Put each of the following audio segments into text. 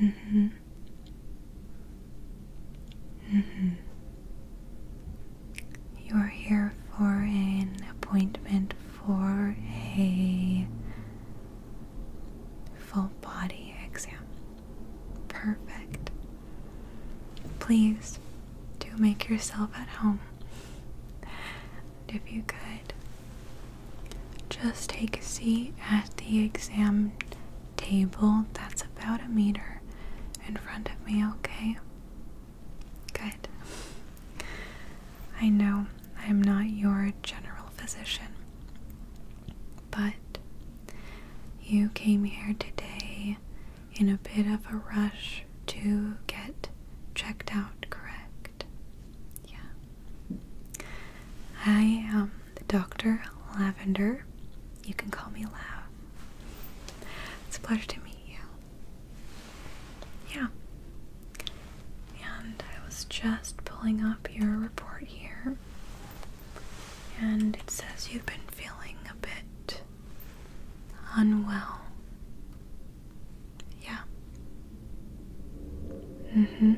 Mm-hmm. Mm-hmm. You are here for an appointment for a full body exam. Perfect. Please do make yourself at home if you could just take a seat at the exam table that's about a meter in front of me, okay? Good. I know I'm not your general physician, but you came here today in a bit of a rush to get checked out, correct? Yeah. I am um, the Dr. Lavender. You can call me Lav. It's a pleasure to meet you. Yeah. And I was just pulling up your report here. And it says you've been feeling a bit unwell. Yeah. Mm-hmm.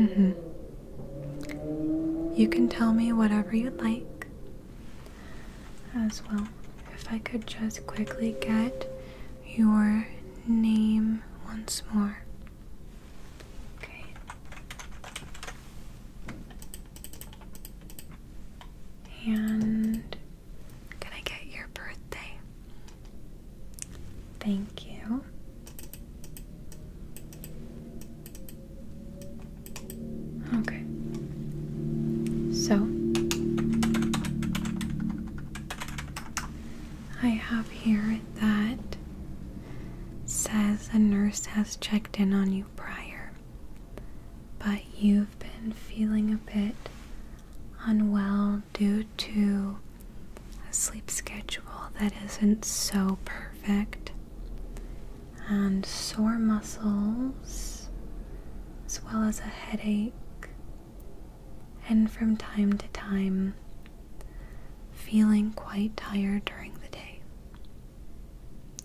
Mm-hmm. You can tell me whatever you'd like. As well, if I could just quickly get your name once more. Okay. And can I get your birthday? Thank you. Okay. So, I have here that says a nurse has checked in on you prior, but you've been feeling a bit unwell due to a sleep schedule that isn't so perfect, and sore muscles, as well as a headache, and from time to time, feeling quite tired during the day.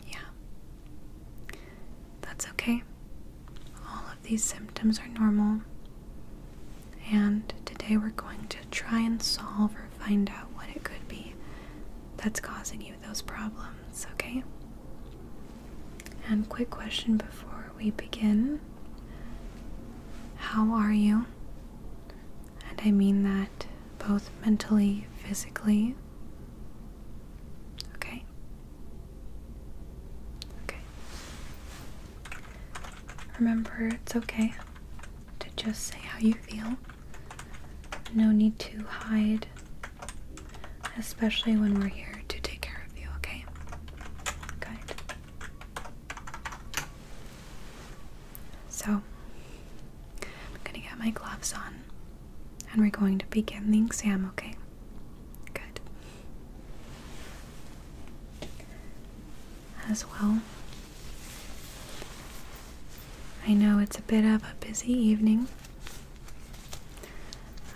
Yeah. That's okay. All of these symptoms are normal, and today we're going to try and solve or find out what it could be that's causing you those problems, okay? And quick question before we begin How are you? And I mean that both mentally, physically. Okay. Okay. Remember, it's okay to just say how you feel. No need to hide, especially when we're here to take care of you, okay? Good. So, I'm gonna get my gloves on and we're going to begin the exam, okay? Good. As well. I know it's a bit of a busy evening.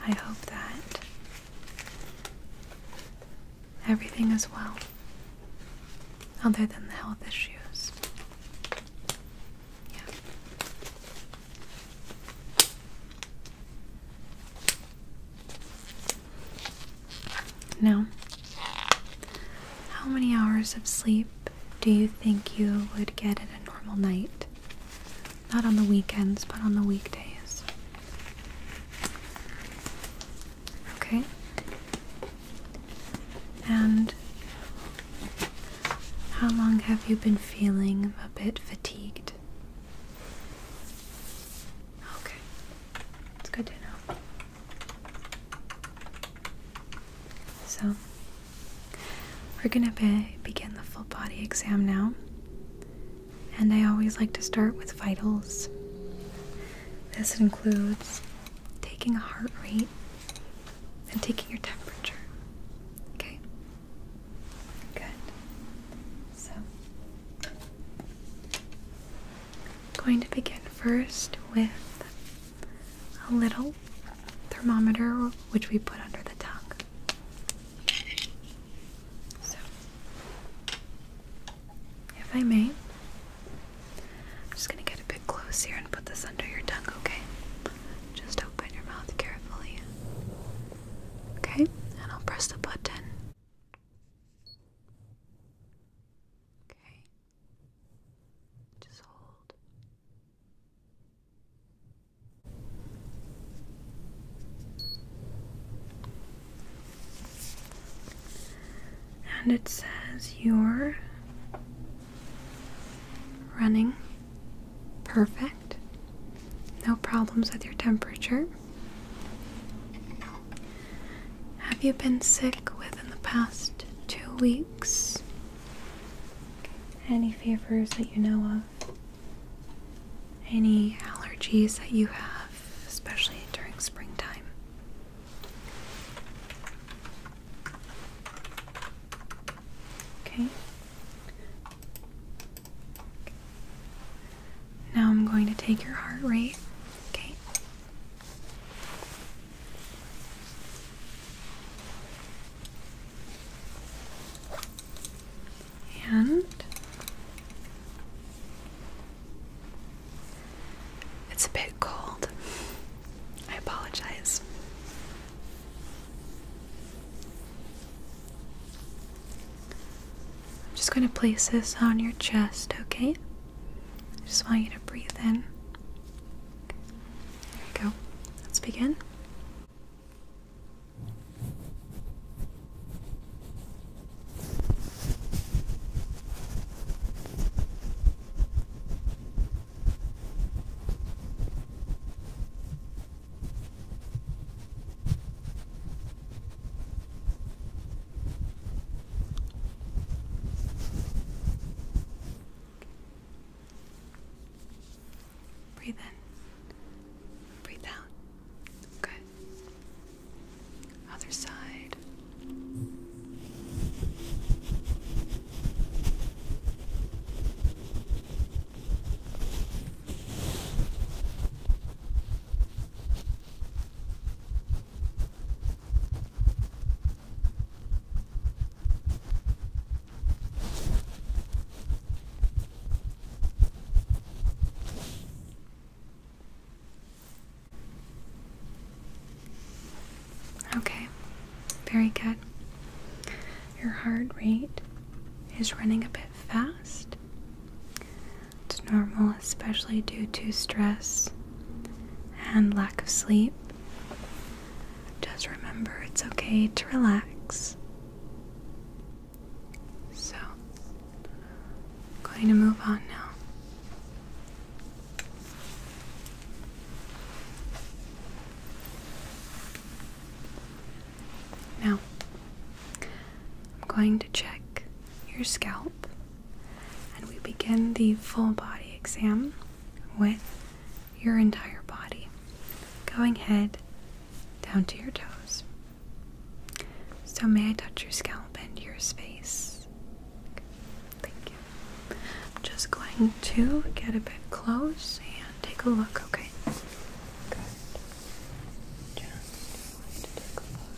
I hope that everything is well, other than the health issues. Yeah. No. How many hours of sleep do you think you would get in a normal night? Not on the weekends, but on the weekdays. Okay. And how long have you been feeling a bit fatigued? Okay. It's good to know. So, we're gonna begin the full body exam now. And I always like to start with vitals. This includes taking a heart rate and taking your temperature. Okay? Good. So, going to begin first with a little thermometer which we put under the tongue. So, if I may, I'm just going to get a bit close here and put this under your tongue, okay? Just open your mouth carefully. Okay, and I'll press the button. Okay. Just hold. And it says you're running perfect. No problems with your temperature. Have you been sick within the past two weeks? Any fevers that you know of? Any allergies that you have, especially during springtime? Okay. Now I'm going to take your heart rate. Okay. And it's a bit cold. I apologize. I'm just going to place this on your chest, okay? I just want you to breathe in. There we go. Let's begin. Breathe in. Breathe out. Good. Other side. Okay, very good. Your heart rate is running a bit fast. It's normal, especially due to stress and lack of sleep. Just remember it's okay to relax. So, going to move on now. Now, I'm going to check your scalp and we begin the full body exam with your entire body, going head down to your toes. So, may I touch your scalp and your space? thank you. I'm just going to get a bit close and take a look, okay? Good. Just to take a look.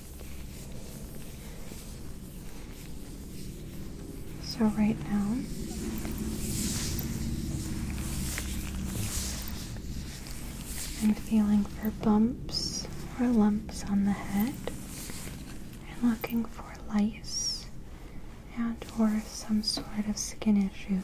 So, right now, I'm feeling for bumps or lumps on the head and looking for lice and or some sort of skin issues.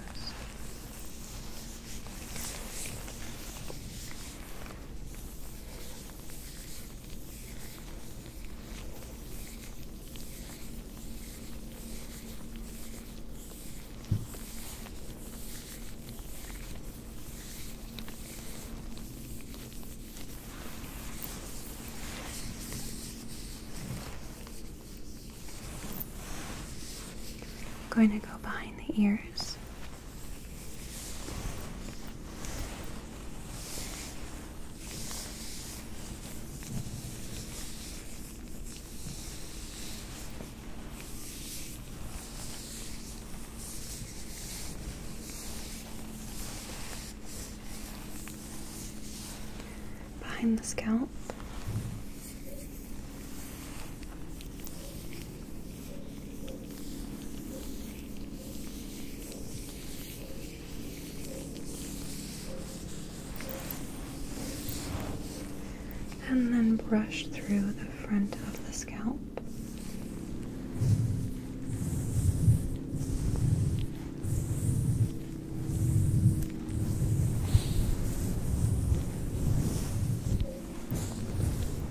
I'm going to go behind the ears Behind the scalp. And then brush through the front of the scalp.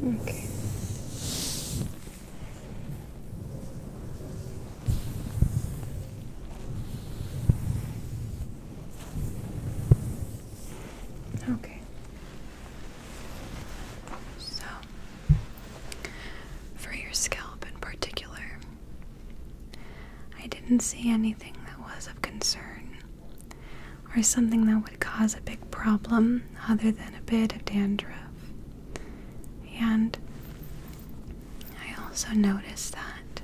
Okay. Okay. So, for your scalp in particular, I didn't see anything that was of concern or something that would cause a big problem other than a bit of dandruff. And I also noticed that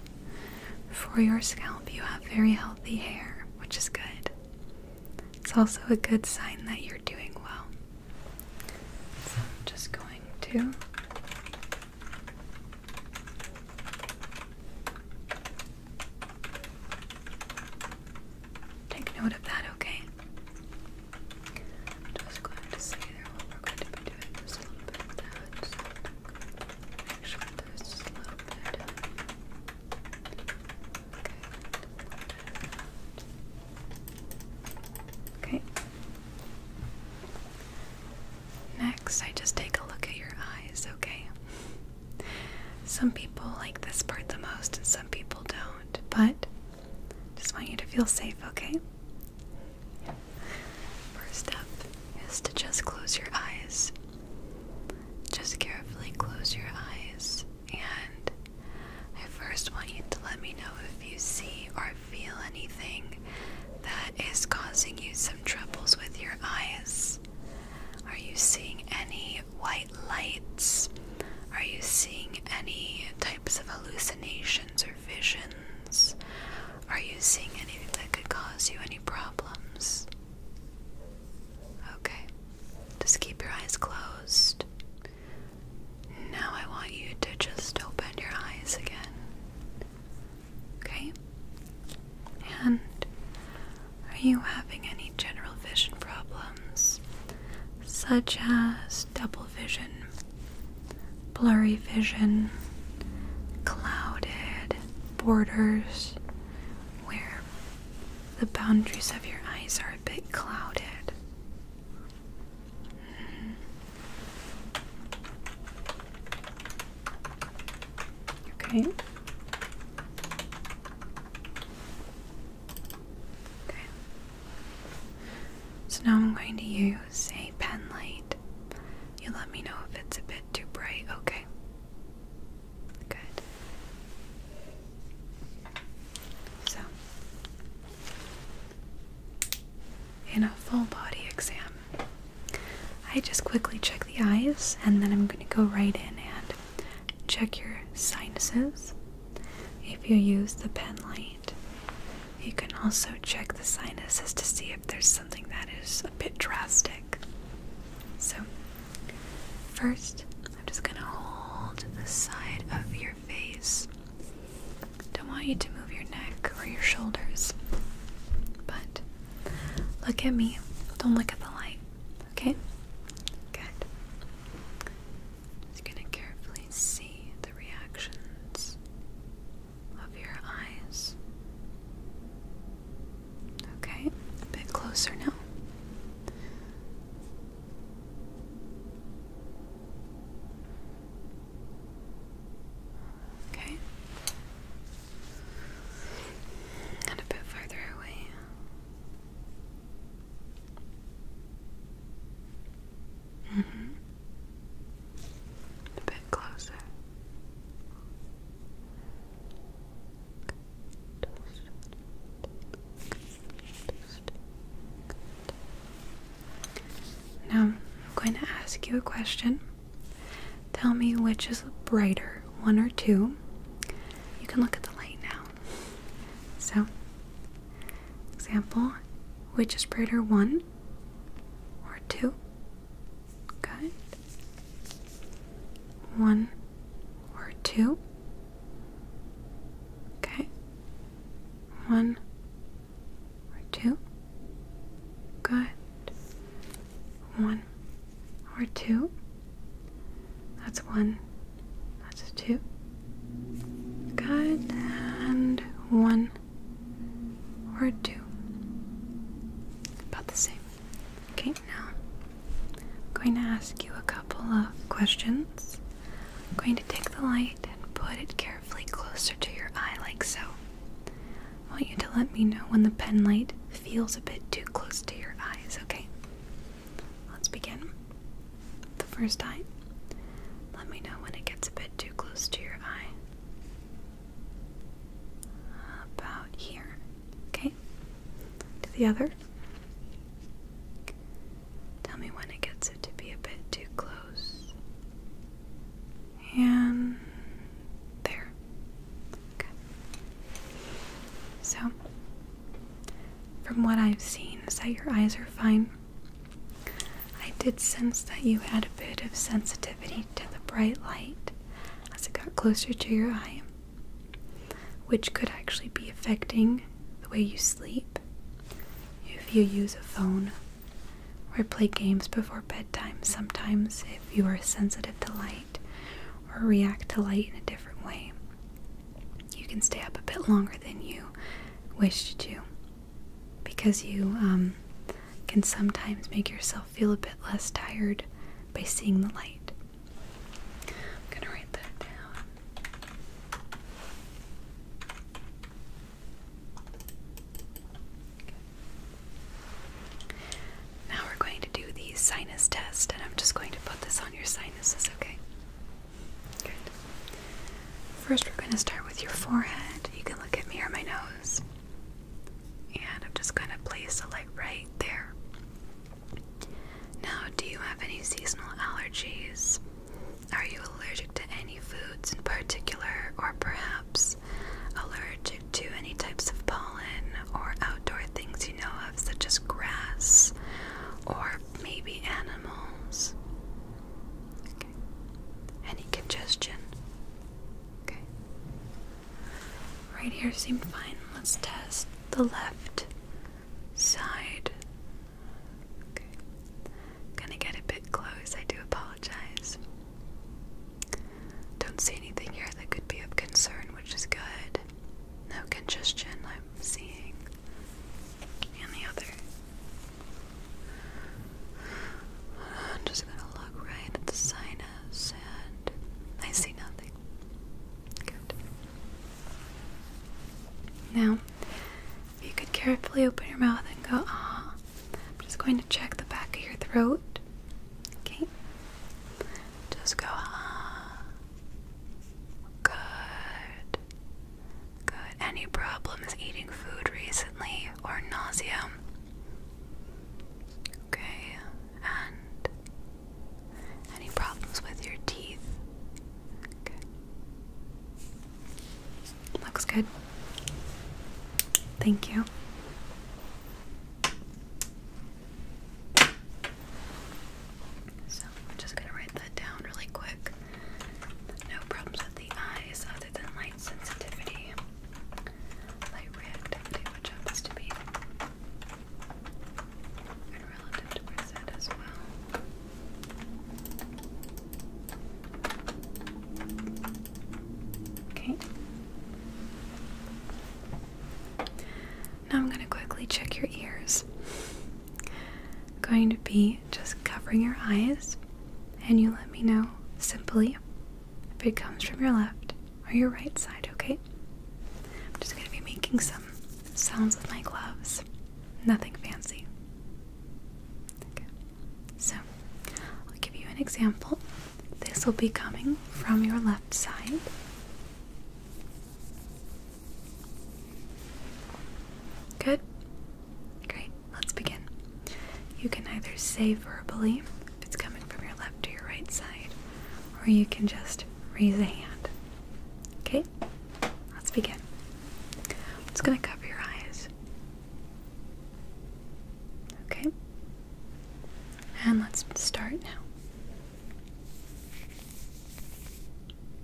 for your scalp, you have very healthy hair, which is good. It's also a good sign that you're doing well. So I'm just going to. Take note of that, okay? just going to say there we're going to be doing. Just a little bit of make sure there's just a little bit. Okay. Okay. Next, I just take a look at your eyes, okay? Some people like this part the most and some people don't, but just want you to feel safe, okay? First step is to just close your eyes. Just carefully close your eyes, and I first want you to let me know if you see or feel anything that is causing you some troubles with your eyes. Are you seeing any white lights? Are you seeing any types of hallucinations or visions? Are you seeing anything that could cause you any problems? Okay, just keep your eyes closed. Now I want you to just open your eyes again. Okay? And are you having any general vision problems, such as double vision, blurry vision, clouded borders, where the boundaries of your eyes are a bit clouded? Mm-hmm. Okay. Okay. So now I'm going to use a pen light. You let me know if it's a bit too bright, okay? Good. So, in a full body exam, I just quickly check the eyes and then I'm going to go right in and check your sinuses. If you use the pen light, you can also check the sinuses to see if there's something that is a bit drastic. So, first, I'm just going to hold the side of your face. Don't want you to move your neck or your shoulders. But look at me. Don't look at the light. Okay? Good. I'm Just gonna carefully see the reactions of your eyes. Okay, a bit closer now. Okay. And a bit further away. Mm -hmm. A bit closer. Now, I'm going to ask you a question. Tell me which is brighter, one or two. You can look at the light now. So, example, which is brighter, one or two? Good. One or two? Okay. One or two? Good. One or two? That's one. That's two. Good. And one or two. About the same. Okay, now I'm going to ask you a couple of questions. I'm going to take the light and put it carefully closer to your eye, like so. I want you to let me know when the pen light feels a bit too close to your eyes, okay? Let's begin. The first eye. Let me know when it gets a bit too close to your eye. About here. Okay? the other. Tell me when it gets to be a bit too close. And there. Okay. So, from what I've seen, is that your eyes are fine. I did sense that you had a bit of sensitivity to the bright light as it got closer to your eye, which could actually be affecting the way you sleep. If you use a phone or play games before bedtime, sometimes if you are sensitive to light or react to light in a different way, you can stay up a bit longer than you wished to because you um, can sometimes make yourself feel a bit less tired by seeing the light. I'm going to write that down. Now we're going to do the sinus test, and I'm just going to put this on your sinuses, okay? Good. First, we're going to start with your forehead. You can look at me or my nose. And I'm just going to place the light right there. Now, do you have any seasonal allergies? Are you allergic to any foods in particular, or perhaps allergic to any types of pollen or outdoor things you know of? such as grass or maybe animals. Any congestion? Okay. Right here seemed fine. Let's test the left side. Okay. Gonna get a bit close. I do apologize. Don't see anything here that could be of concern, which is good. No congestion I'm seeing and the other. I'm just gonna look right at the sinus and I see nothing. Good. Now, you could carefully open your mouth and go, ah, I'm just going to check the back of your throat. Okay? Just go, ah. Good. Good. Any problems eating food recently or nausea? Okay. And any problems with your teeth? Okay. Looks good. Thank you. So I'm just gonna write that down really quick. No problems with the eyes other than light sensitivity, light reactivity, which happens to be and relative percent as well. Okay. Now I'm going to quickly check your ears going to be just covering your eyes, and you let me know simply if it comes from your left or your right side, okay? I'm just going to be making some sounds with my gloves. Nothing fancy. Okay. So, I'll give you an example. This will be coming from your left side. Good? Great, let's begin. You can either say verbally if it's coming from your left or your right side, or you can just raise a hand. Okay? Let's begin. I'm just going to cover your eyes. Okay? And let's start now.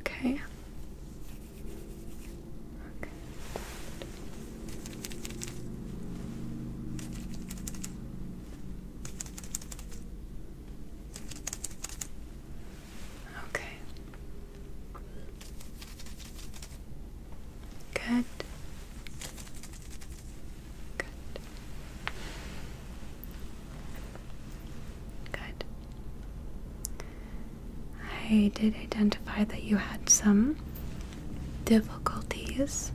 Okay. Okay. Okay. Good. Good. Good. I did identify that you had some difficulties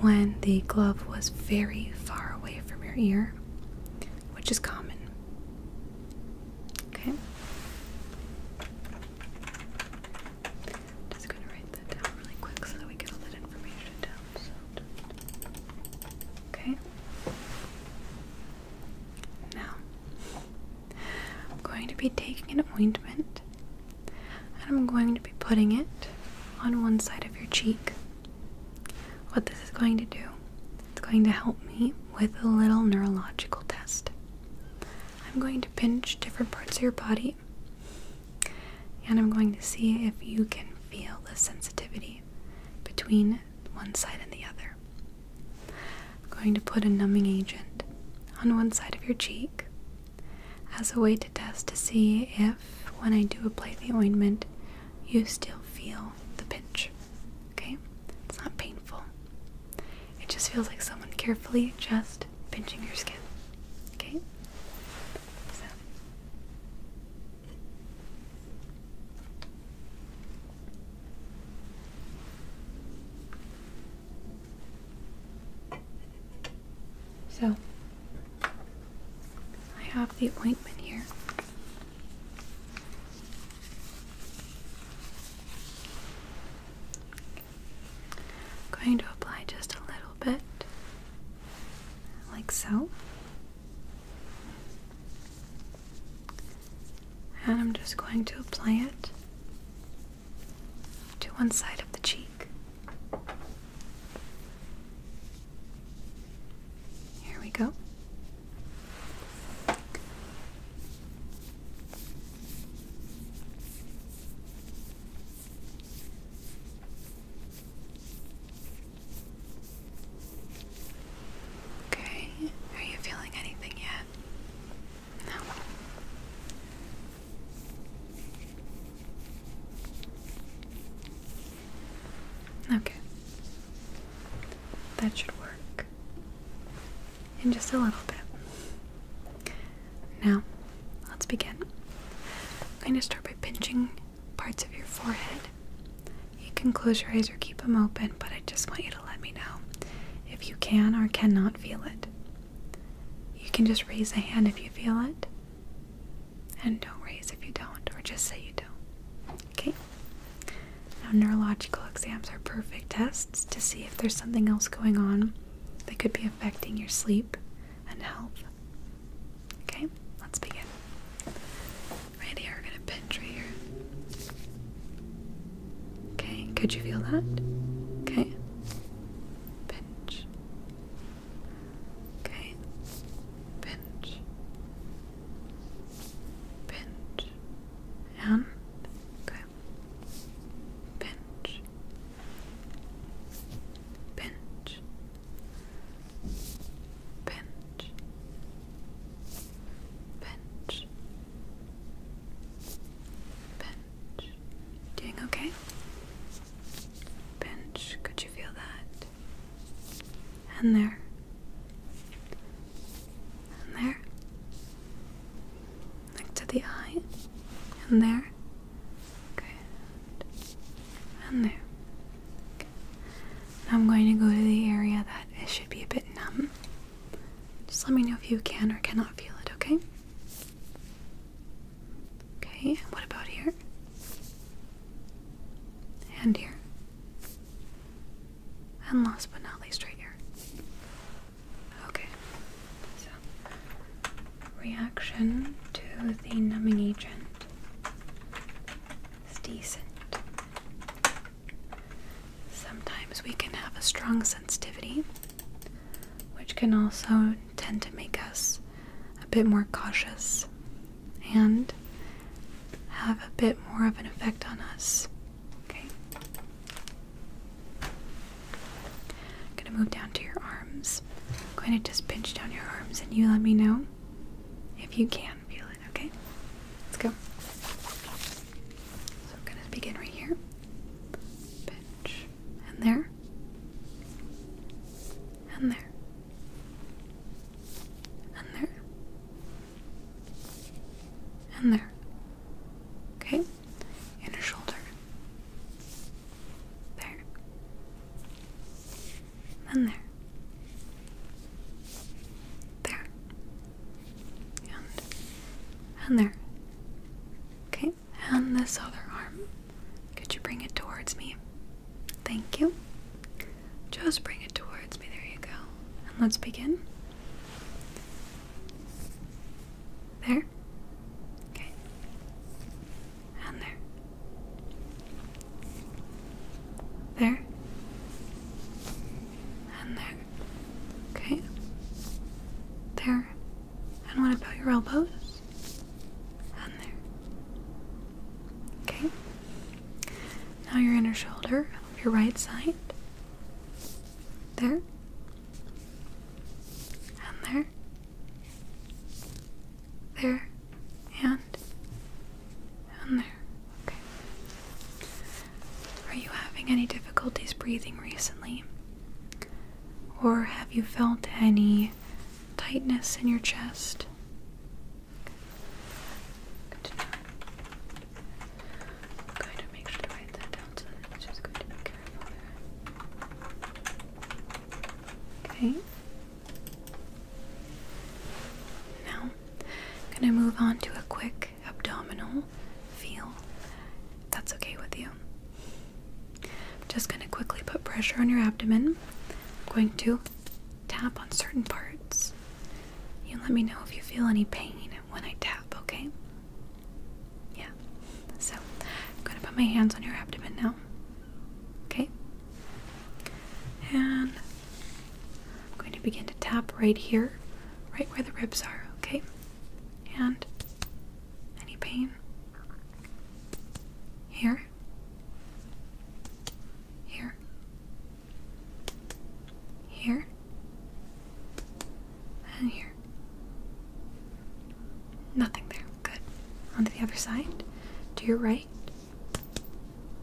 when the glove was very far away from your ear, which is common. Okay. just going to write that down really quick so that we get all that information down. okay. Now, I'm going to be taking an ointment and I'm going to be putting it on one side of your cheek. What this is going to do, it's going to help me with a little neurological test. I'm going to pinch different parts of your body and I'm going to see if you can feel the sensitivity between one side and the other. I'm going to put a numbing agent on one side of your cheek as a way to test to see if, when I do apply the ointment, you still feel the pinch. Okay? It's not painful. It just feels like someone carefully just pinching your skin. Okay? So, I have the appointment here. going to apply just a little bit, like so. And I'm just going to apply it to one side of the cheek. Here we go. Okay, are you feeling anything yet? Okay. That should work. In just a little bit. Now, let's begin. I'm going to start by pinching parts of your forehead. You can close your eyes or keep them open, but I just want you to let me know if you can or cannot feel it. You can just raise a hand if you feel it, and don't raise if you don't, or just say you don't. Okay? Now, neurological exams are perfect tests to see if there's something else going on that could be affecting your sleep and health. Okay, let's begin. Right we're going to pinch right here. Okay, could you feel that? Okay. Pinch. Okay. Pinch. Pinch. And okay. Pinch. Pinch. Pinch. Pinch. Pinch. Doing okay? Pinch. Could you feel that? And there. And there. Next to the eye. And there. Good. And there. I'm going to go to the area that should be a bit numb. Just let me know if you can or cannot feel it, okay? Okay, what about here? And here. And last but not least, right here. Okay, so reaction to the numbing agent is decent. Sometimes we can have a strong sensitivity, which can also tend to make us a bit more cautious and have a bit more of an effect on us. Okay. I'm going to move down to your arms. I'm going to just pinch down your arms and you let me know if you can feel it, okay? Let's go. So I'm going to begin right here and there, and there, and there, and there. Okay, inner shoulder. There. And there. There and and there. Okay, and this other arm. Could you bring it towards me? Thank you. Just bring it towards me. There you go. And let's begin. There. Okay. And there. There. And there. Okay. There. And what about your elbows? And there. Okay. Now your inner shoulder your right side. There. And there. There. And. And there. Okay. Are you having any difficulties breathing recently? Or have you felt any tightness in your chest? Good to make sure to write that down just going to be careful Okay. Now, I'm going to move on to a quick abdominal feel, that's okay with you. I'm just going to quickly put pressure on your abdomen. I'm going to tap on certain parts. You let me know if you feel any pain when I tap, okay? Yeah. So I'm going to put my hands on your abdomen now. Okay? And I'm going to begin to tap right here, right where the ribs are, okay? And any pain? Here? Here? Here? And here. Nothing there. Good. On to the other side. To your right.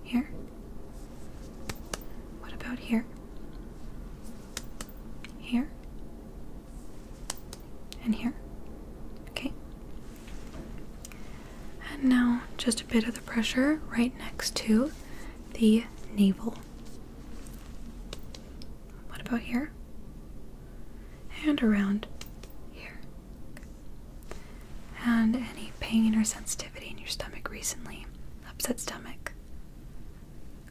Here. What about here? here, and here. Okay. And now just a bit of the pressure right next to the navel. What about here? And around here. And any pain or sensitivity in your stomach recently? Upset stomach?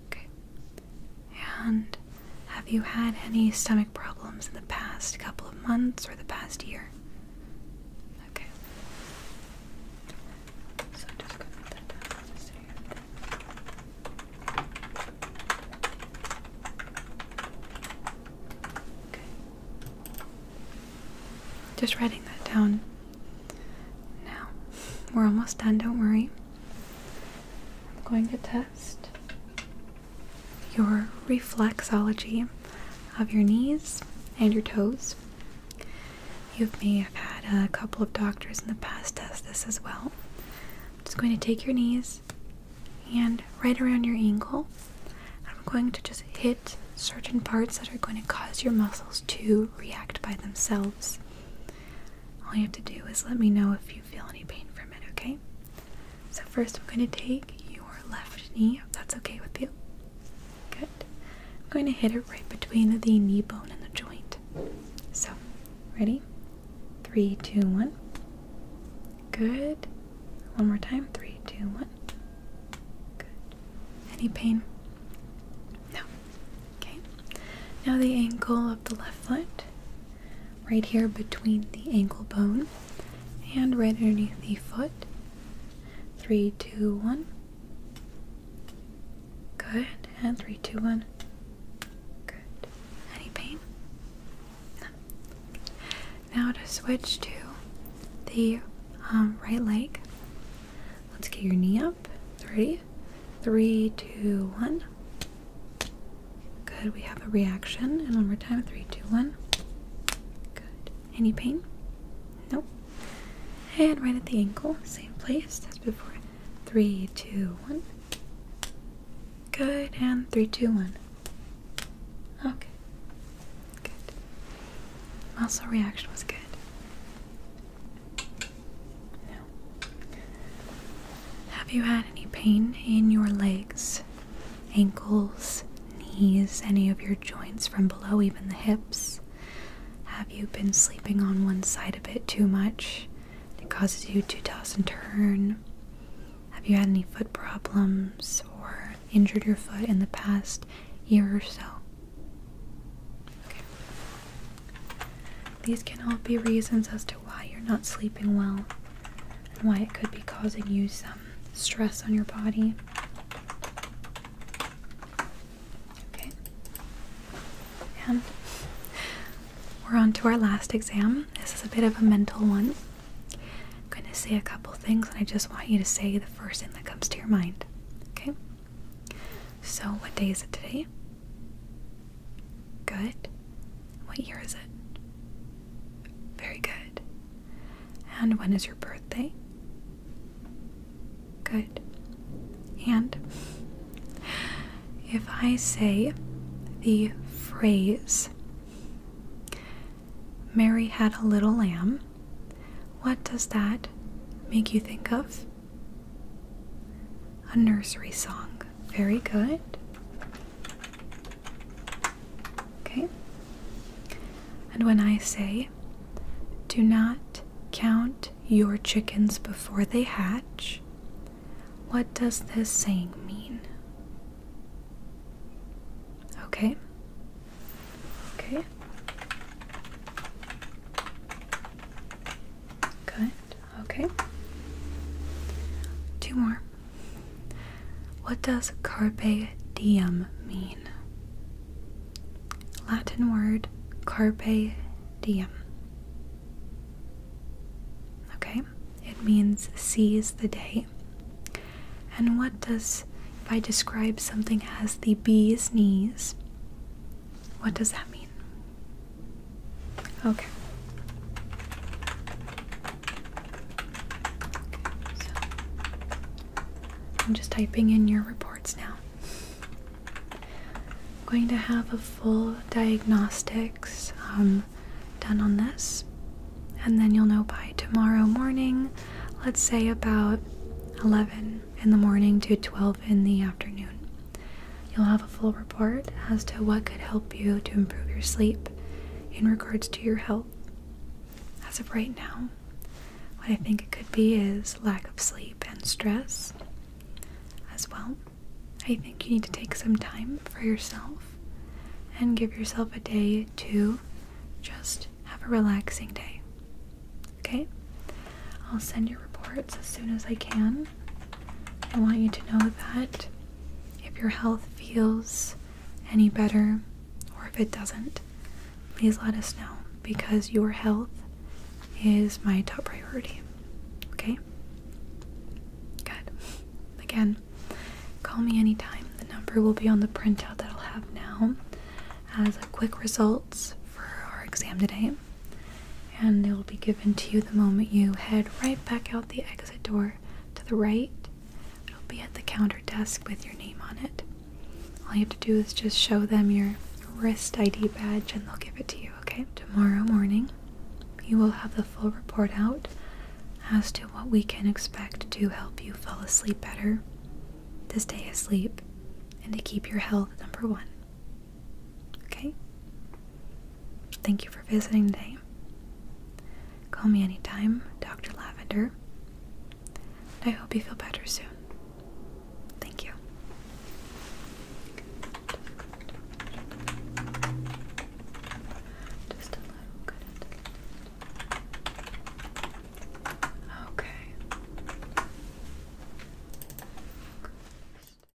Okay. And have you had any stomach problems in the past couple of months or the past year? Okay. So just going to put that down just here. Okay. Just writing that down. Now, we're almost done, don't worry. I'm going to test your reflexology of your knees and your toes. You may have had a couple of doctors in the past test this as well. I'm just going to take your knees and right around your ankle. I'm going to just hit certain parts that are going to cause your muscles to react by themselves all you have to do is let me know if you feel any pain from it, okay? So, first, I'm going to take your left knee, if that's okay with you. Good. I'm going to hit it right between the knee bone and the joint. So, ready? Three, two, one. Good. One more time. Three, two, one. Good. Any pain? No. Okay, now the ankle of the left foot, right here between the ankle bone and right underneath the foot. Three, two, one. Good, and three, two, one. Good. Any pain? Now to switch to the um, right leg. Let's get your knee up. Three, three, two, one. Good. We have a reaction. And one more time. Three, two, one. Good. Any pain? Nope. And right at the ankle, same place as before. Three, two, one. Good. And three, two, one. Okay. Good. Muscle reaction was good have you had any pain in your legs, ankles, knees, any of your joints from below, even the hips? Have you been sleeping on one side a bit too much? It causes you to toss and turn. Have you had any foot problems or injured your foot in the past year or so? These can all be reasons as to why you're not sleeping well and why it could be causing you some stress on your body. Okay. And we're on to our last exam. This is a bit of a mental one. I'm going to say a couple things and I just want you to say the first thing that comes to your mind. Okay? So, what day is it today? Good. What year is it? Very good. And when is your birthday? Good. And if I say the phrase, Mary had a little lamb, what does that make you think of? A nursery song. Very good. Okay. And when I say, do not count your chickens before they hatch, what does this saying mean? Okay. Okay. Good. Okay. Two more. What does carpe diem mean? Latin word carpe diem. Okay, it means seize the day. And what does, if I describe something as the bee's knees, what does that mean? Okay. I'm just typing in your reports now. I'm going to have a full diagnostics um, done on this, and then you'll know by tomorrow morning, let's say about 11 in the morning to 12 in the afternoon. You'll have a full report as to what could help you to improve your sleep in regards to your health. As of right now, what I think it could be is lack of sleep and stress as well. I think you need to take some time for yourself and give yourself a day to just have a relaxing day. Okay? I'll send you reports as soon as I can. I want you to know that if your health feels any better or if it doesn't, please let us know because your health is my top priority. Okay? Good. Again, call me anytime. The number will be on the printout that I'll have now as a quick results for our exam today and it will be given to you the moment you head right back out the exit door to the right. It'll be at the counter desk with your name on it. All you have to do is just show them your wrist ID badge and they'll give it to you, okay? Tomorrow morning, you will have the full report out as to what we can expect to help you fall asleep better, to stay asleep, and to keep your health number one. Okay? Thank you for visiting today. Call me anytime, Dr. Lavender. I hope you feel better soon. Thank you. Just a little Okay.